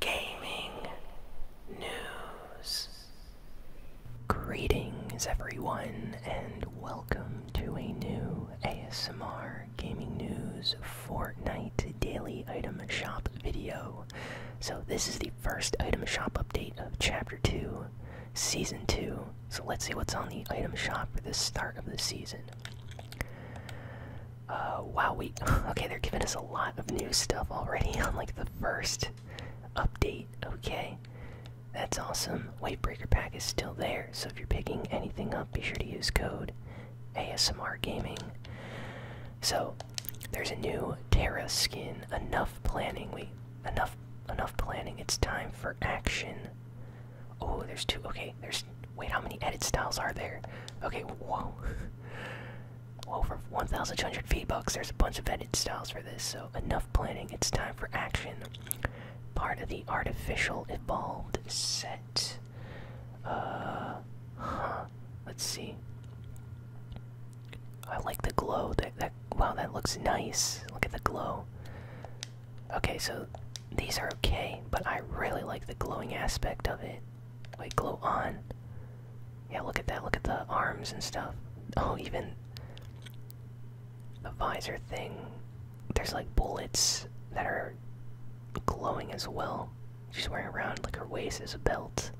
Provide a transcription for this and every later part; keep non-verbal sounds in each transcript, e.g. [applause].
gaming news. Greetings, everyone, and welcome to a new ASMR Gaming News Fortnite Daily Item Shop video. So, this is the first item shop update of Chapter 2, Season 2. So, let's see what's on the item shop for the start of the season. Uh, wow, we [laughs] okay. They're giving us a lot of new stuff already [laughs] on like the first update. Okay, that's awesome. Breaker pack is still there, so if you're picking anything up, be sure to use code ASMR Gaming. So there's a new Terra skin. Enough planning. We enough enough planning. It's time for action. Oh, there's two. Okay, there's. Wait, how many edit styles are there? Okay, whoa. [laughs] over 1,200 v There's a bunch of edited styles for this, so enough planning. It's time for action. Part of the artificial evolved set. Uh, huh. Let's see. I like the glow. That that wow, that looks nice. Look at the glow. Okay, so these are okay, but I really like the glowing aspect of it. Wait, glow on. Yeah, look at that. Look at the arms and stuff. Oh, even the visor thing. There's like bullets that are glowing as well. She's wearing around like her waist is a belt.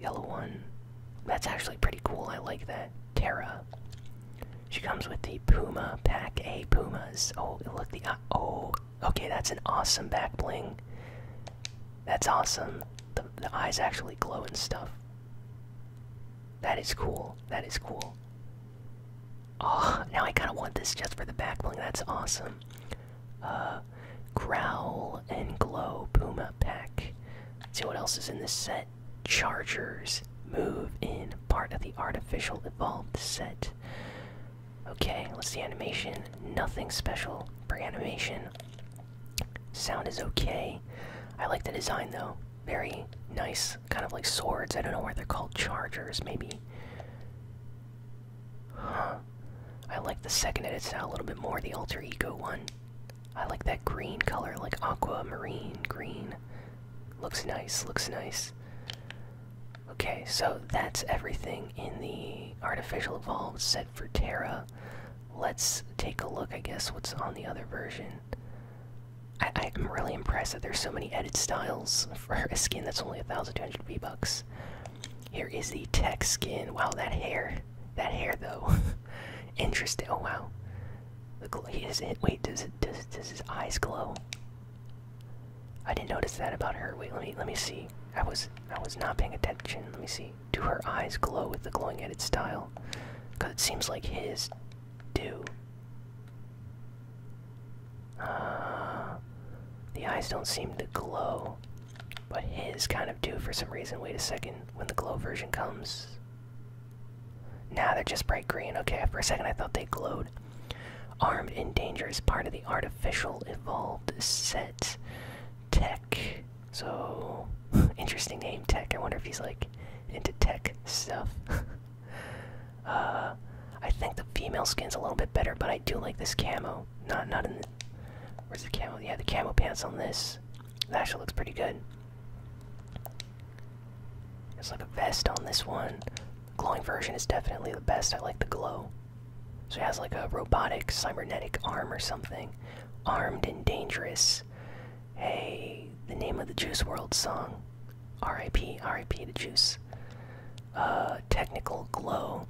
Yellow one. That's actually pretty cool. I like that. Terra. She comes with the Puma pack. A Pumas. Oh, look the uh, oh. Okay, that's an awesome back bling. That's awesome. The, eyes actually glow and stuff. That is cool. That is cool. Oh, now I kind of want this just for the back bling. That's awesome. Uh, growl and glow Puma pack. see what else is in this set. Chargers move in part of the artificial evolved set. Okay, let's see animation. Nothing special for animation. Sound is okay. I like the design though. Very nice, kind of like swords. I don't know why they're called chargers, maybe. Huh. I like the second edit style a little bit more, the alter ego one. I like that green color, like aqua, marine green. Looks nice, looks nice. Okay, so that's everything in the artificial evolved set for Terra. Let's take a look, I guess, what's on the other version. I am really impressed that there's so many edit styles for a skin that's only 1,200 V-Bucks. Here is the tech skin. Wow, that hair. That hair, though. [laughs] Interesting. Oh, wow. The He is it. Wait, does it? Does does his eyes glow? I didn't notice that about her. Wait, let me let me see. I was I was not paying attention. Let me see. Do her eyes glow with the glowing style? style? Cause it seems like his do. Uh, the eyes don't seem to glow, but his kind of do for some reason. Wait a second. When the glow version comes, now they're just bright green. Okay, for a second I thought they glowed. Armed and dangerous, part of the artificial evolved set Tech. So [laughs] interesting name, Tech. I wonder if he's like into tech stuff. [laughs] Uh, I think the female skin's a little bit better, but I do like this camo. Not not in. The, where's the camo? Yeah, the camo pants on this. That actually looks pretty good. It's like a vest on this one. glowing version is definitely the best. I like the glow. So he has like a robotic cybernetic arm or something. Armed and dangerous. Hey, the name of the Juice World song. R.I.P. R.I.P. the Juice. Uh, technical glow.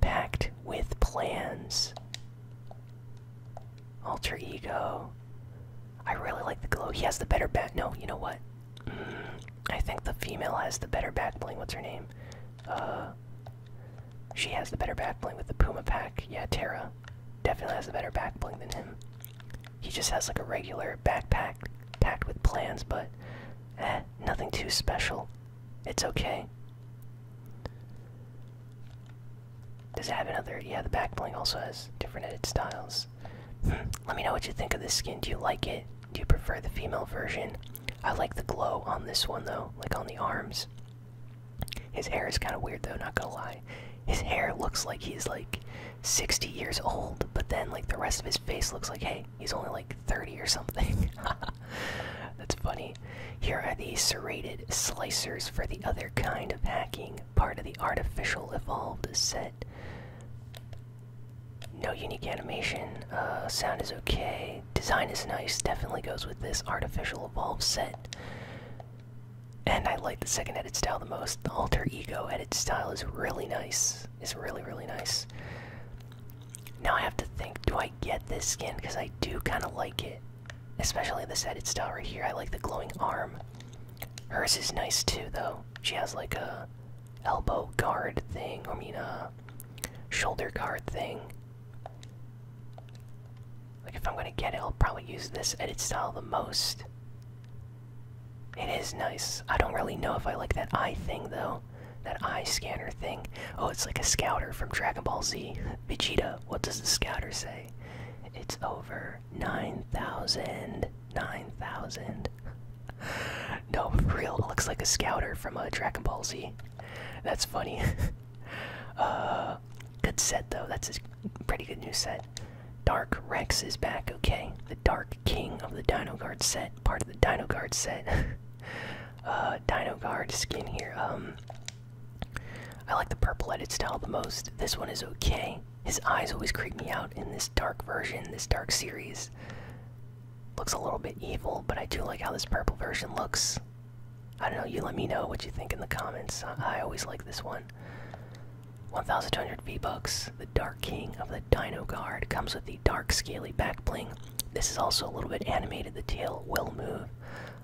Packed with plans. Alter ego. I really like the glow. He has the better back. No, you know what? Mm, I think the female has the better back bling. What's her name? Uh, she has the better back bling with the Puma pack. Yeah, Terra definitely has the better back bling than him. He just has like a regular backpack packed with plans, but eh, nothing too special. It's okay. Does it have another? Yeah, the back bling also has different edit styles. Hmm, let me know what you think of this skin. Do you like it? Do you prefer the female version? I like the glow on this one though, like on the arms. His hair is kind of weird though, not gonna lie. His hair looks like he's like 60 years old, but then like the rest of his face looks like, hey, he's only like 30 or something. [laughs] That's funny. Here are the serrated slicers for the other kind of hacking, part of the artificial evolved set. No unique animation. Uh, sound is okay. Design is nice. Definitely goes with this artificial evolve set. And I like the second edit style the most. The alter ego edit style is really nice. Is really, really nice. Now I have to think, do I get this skin? Because I do kind of like it. Especially this edit style right here. I like the glowing arm. Hers is nice too, though. She has like a elbow guard thing. I mean, uh, shoulder guard thing. Like, if I'm gonna get it, I'll probably use this edit style the most. It is nice. I don't really know if I like that eye thing, though. That eye scanner thing. Oh, it's like a scouter from Dragon Ball Z. [laughs] Vegeta, what does the scouter say? It's over 9,000. 9,000. [laughs] no, for real, it looks like a scouter from a uh, Dragon Ball Z. That's funny. [laughs] Uh, good set though. That's a pretty good new set. Dark Rex is back. Okay, the Dark King of the Dino Guard set, part of the Dino Guard set. [laughs] uh, Dino Guard skin here. Um, I like the purple edit style the most. This one is okay. His eyes always creep me out in this dark version, this dark series. Looks a little bit evil, but I do like how this purple version looks. I don't know, you let me know what you think in the comments. I, always like this one. 1200 V-Bucks, the Dark King of the Dino Guard, comes with the dark scaly back bling. This is also a little bit animated, the tail will move.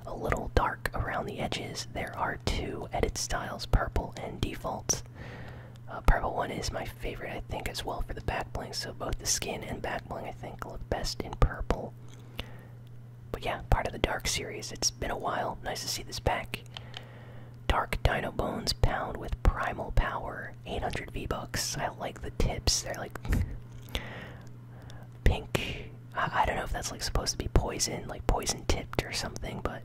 A little dark around the edges. There are two edit styles, purple and defaults. Uh, purple one is my favorite, I think, as well for the back bling, so both the skin and back I think, look best in purple. But yeah, part of the Dark series. It's been a while. Nice to see this back. Dark Dino Bones Pound with Primal Power. 800 V-Bucks. I like the tips. They're like [laughs] pink. I don't know if that's like supposed to be poison, like poison tipped or something, but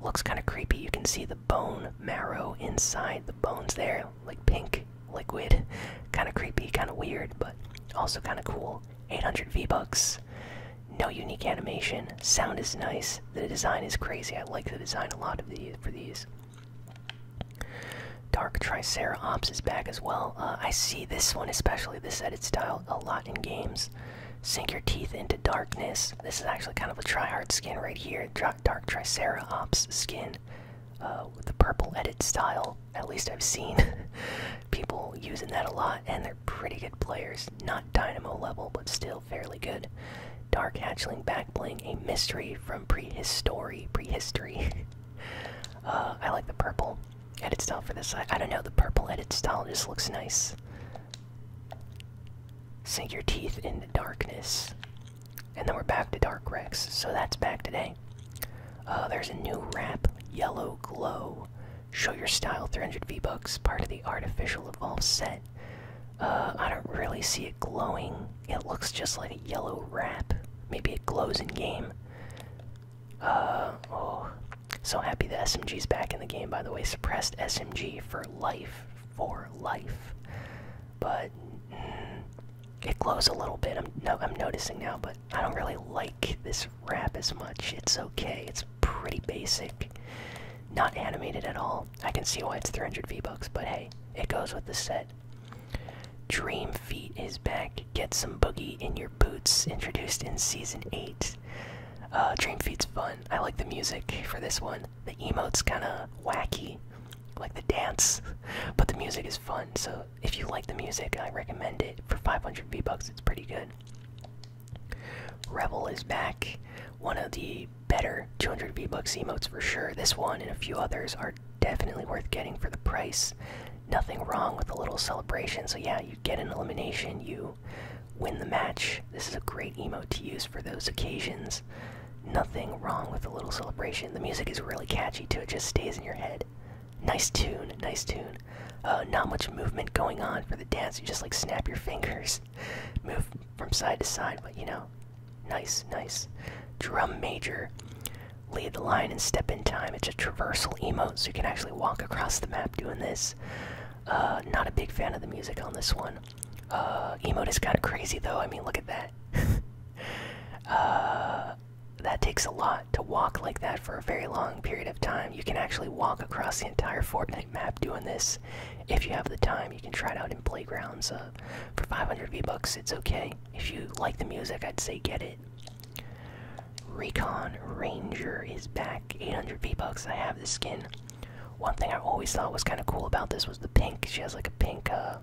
looks kind of creepy. You can see the bone marrow inside the bones there, like pink liquid. Kind of creepy, kind of weird, but also kind of cool. 800 V-Bucks. No unique animation. Sound is nice. The design is crazy. I like the design a lot of these for these. Dark Triceratops is back as well. Uh, I see this one, especially this edit style, a lot in games. Sink your teeth into darkness. This is actually kind of a try-hard skin right here. Dark Triceratops skin. Uh, with the purple edit style. At least I've seen [laughs] people using that a lot, and they're pretty good players. Not Dynamo level, but still fairly good. Dark Hatchling back playing a mystery from prehistory. Prehistory. [laughs] Uh, I like the purple edit style for this. I, don't know, the purple edit style just looks nice. Sink your teeth in the darkness. And then we're back to Dark Rex, so that's back today. Uh, there's a new wrap, Yellow Glow. Show your style, 300 V-Bucks, part of the Artificial Evolve set. Uh, I don't really see it glowing. It looks just like a yellow wrap. Maybe it glows in game. Uh, oh, so happy the SMG's back in the game, by the way. Suppressed SMG for life. For life but mm, it glows a little bit. I'm no, I'm noticing now, but I don't really like this wrap as much. It's okay. It's pretty basic, not animated at all. I can see why it's 300 V bucks, but hey, it goes with the set. Dream Feet is back. Get some boogie in your boots. Introduced in season eight. Uh, Dream Feet's fun. I like the music for this one. The emote's kind of wacky like the dance, but the music is fun. So if you like the music, I recommend it for 500 V bucks. It's pretty good. Rebel is back. One of the better 200 V bucks emotes for sure. This one and a few others are definitely worth getting for the price. Nothing wrong with a little celebration. So yeah, you get an elimination, you win the match. This is a great emote to use for those occasions. Nothing wrong with a little celebration. The music is really catchy too, it just stays in your head. Nice tune, nice tune. Uh, not much movement going on for the dance, you just like snap your fingers, [laughs] move from side to side, but you know, nice, nice. Drum major. Lead the line and step in time. It's a traversal emote, so you can actually walk across the map doing this. Uh, not a big fan of the music on this one. Uh, emote is kind of crazy though. I mean, look at that. [laughs] Uh, that. takes a lot to walk like that for a very long period of time. You can actually walk across the entire Fortnite map doing this. If you have the time, you can try it out in playgrounds. Uh, for 500 V-Bucks, it's okay. If you like the music, I'd say get it. Recon Ranger is back. 800 V-Bucks, I have this skin. One thing I always thought was kind of cool about this was the pink. She has like a pink uh,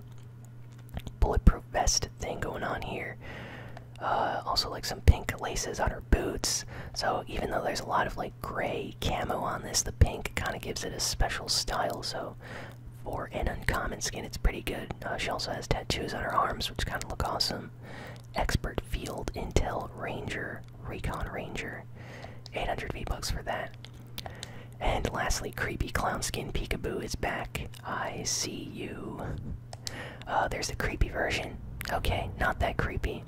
bulletproof vest thing going on here. Uh, also, like some pink laces on her boots. So, even though there's a lot of like gray camo on this, the pink kind of gives it a special style. So, for an uncommon skin, it's pretty good. Uh, she also has tattoos on her arms, which kind of look awesome. Expert Field Intel Ranger, Recon Ranger. 800 V bucks for that. And lastly, Creepy clown skin Peekaboo is back. I see you. Uh, there's the creepy version. Okay, not that creepy.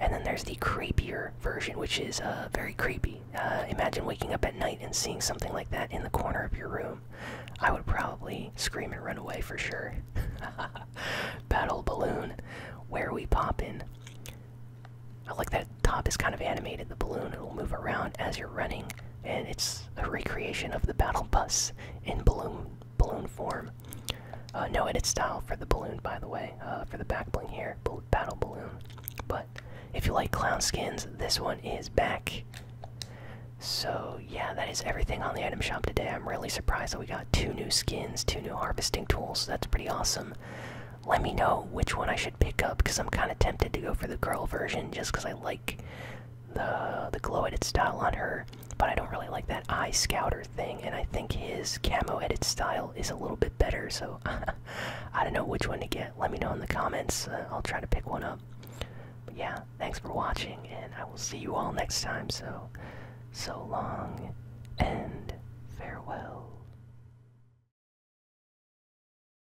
And then there's the creepier version, which is uh, very creepy. Uh, imagine waking up at night and seeing something like that in the corner of your room. I would probably scream and run away for sure. [laughs] Battle balloon, where we pop I like that top is kind of animated. The balloon will move around as you're running and it's a recreation of the battle bus in balloon balloon form. Uh, no edit style for the balloon, by the way, uh, for the back bling here, battle balloon. But if you like clown skins, this one is back. So yeah, that is everything on the item shop today. I'm really surprised that we got two new skins, two new harvesting tools. That's pretty awesome. Let me know which one I should pick up because I'm kind of tempted to go for the girl version just because I like the the glow edit style on her, but I don't really like that eye scouter thing, and I think his camo edit style is a little bit better. So [laughs] I don't know which one to get. Let me know in the comments. Uh, I'll try to pick one up. But yeah, thanks for watching, and I will see you all next time. So so long and farewell.